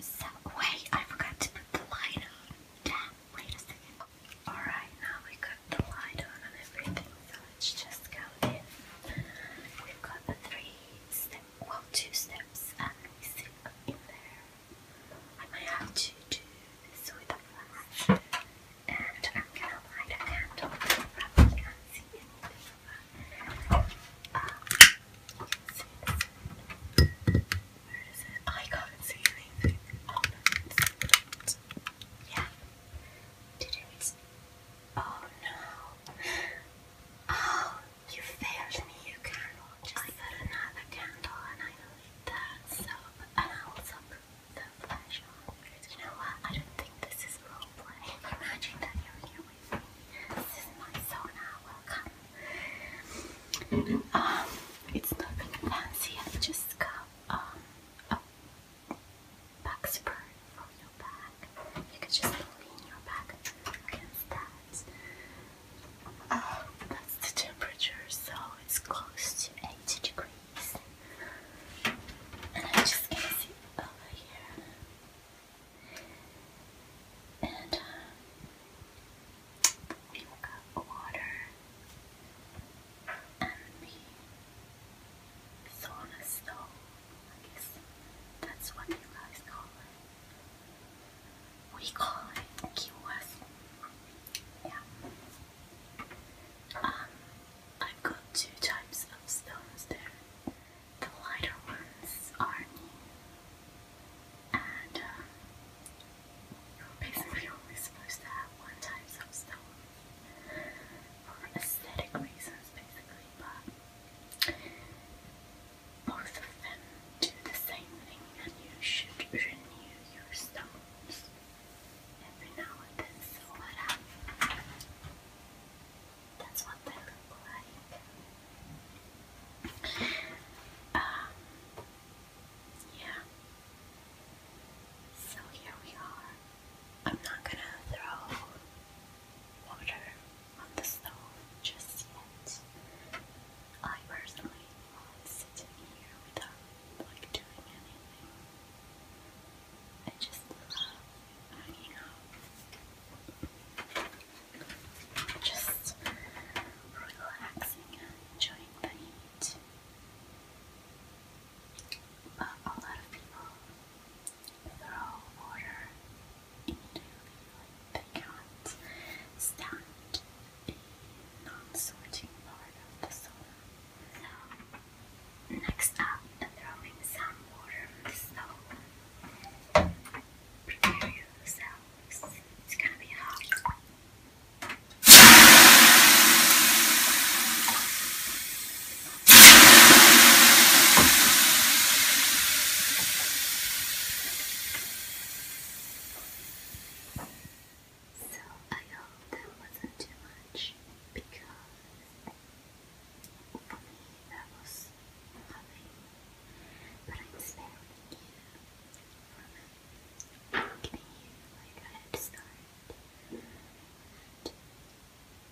So, wait, I forgot to put the light on. Damn, wait a second. Alright, now we got the light on and everything, so let's just go in. We've got the three steps, well, two steps, and we sit in there. I might have to do this with And I'm gonna light a candle so you can see it. Um, I can't see anything. Oh no, it's it? Oh no. Oh, you failed me. You cannot. Just I put another candle and I lit that soap and I also put the flash on. You know what? I don't think this is role Imagine that you this is my sauna. Welcome. Um, it's nothing fancy. just got um, back spur from your back. You can just lean your back against that. Uh, that's the temperature, so it's close to 80 degrees. And I'm just gonna sit over here. And uh, we got water and the sauna stove. I guess that's what you call it. We call it kiosk. Yeah. Um, I've got two types of stones there the lighter ones are new, and um, you're basically only supposed to have one type of stone for aesthetic reasons, basically. But both of them do the same thing, and you should renew your stones every now and then. So what happened? That's what they look like. Um, yeah. So here we are. I'm not gonna throw water on the stove just yet. I personally love sitting here without like doing anything. I just love hanging out just relaxing and enjoying the heat. But a lot of people throw water immediately when they stand the non-sorting part So, next up, throwing some water peculiar sounds. It's gonna be hot. So I hope that wasn't too much because that I'm you giving you like head start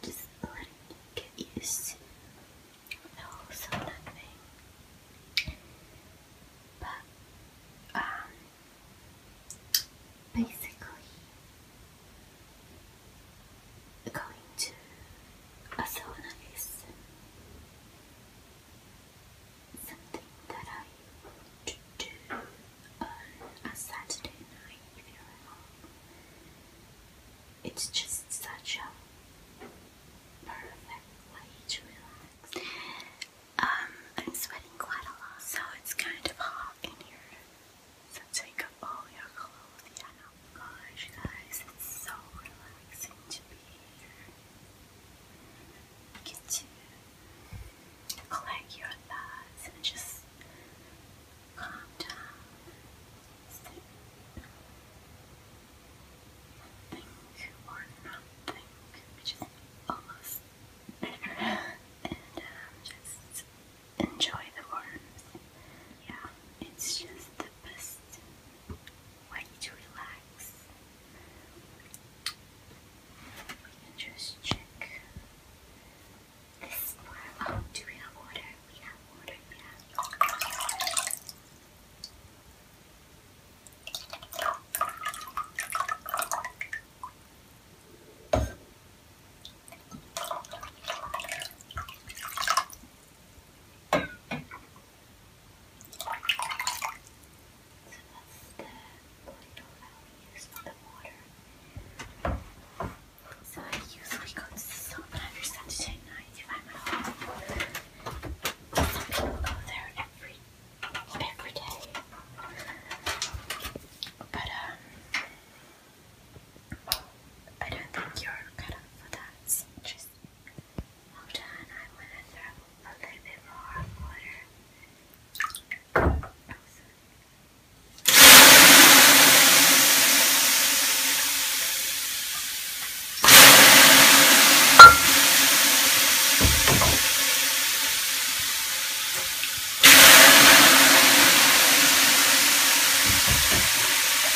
just letting you get used to the whole sauna thing. But um basically going to a sauna is something that I do on a Saturday night if you're at home. It's just such a perfect way to relax. Um, I'm sweating quite a lot, so it's kind of hot in here. So take up all your clothes, yeah, gosh, guys, it's so relaxing to be here. get to collect your thoughts and just calm down, think or not think, which almost and um, just enjoy the warmth. Yeah, it's just the best way to relax. We can just check this part. Oh, do we have water? We have water, yeah the little So I usually go to the store, but Saturday night if I'm at home, some go there every every day. But um, I don't think you're cut up for that. It's interesting. Well done. I want to throw a little bit more water.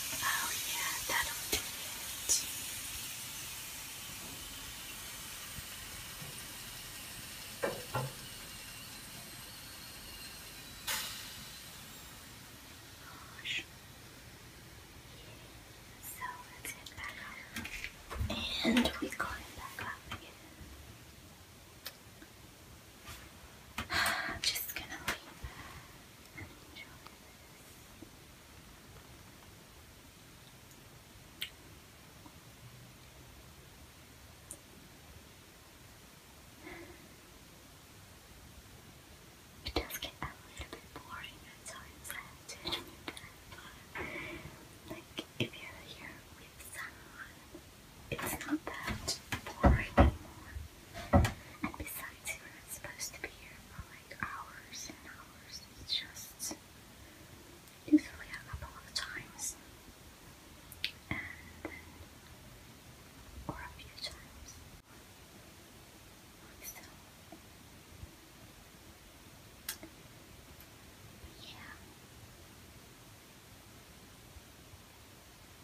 Oh yeah, that'll do it. Gosh. So let's head back up. And we got it back up again. I'm just going to leave It does get a little bit boring at times, I Like, if you're here with someone, it's not that boring anymore. And besides, we are not supposed to be here for like hours and hours. It's just usually a couple of times, and then or a few times. Like so. Yeah.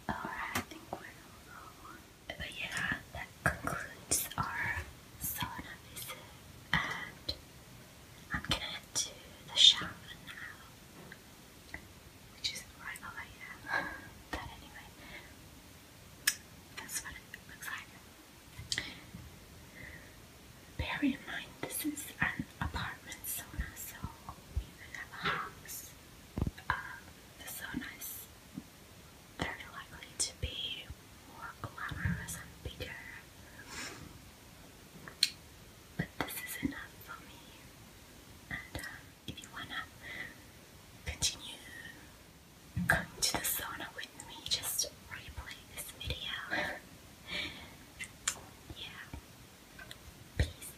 Alright, I think we're all But yeah, that concludes our sauna visit. And I'm gonna head to the shower now. Which is right But anyway, that's what it looks like. Bear in mind, this is an apartment sauna, so we don't have a house the Sonas, are likely to be more glamorous and bigger. But this is enough for me. And um, if you wanna continue going to the sauna with me, just replay this video. yeah. Peace.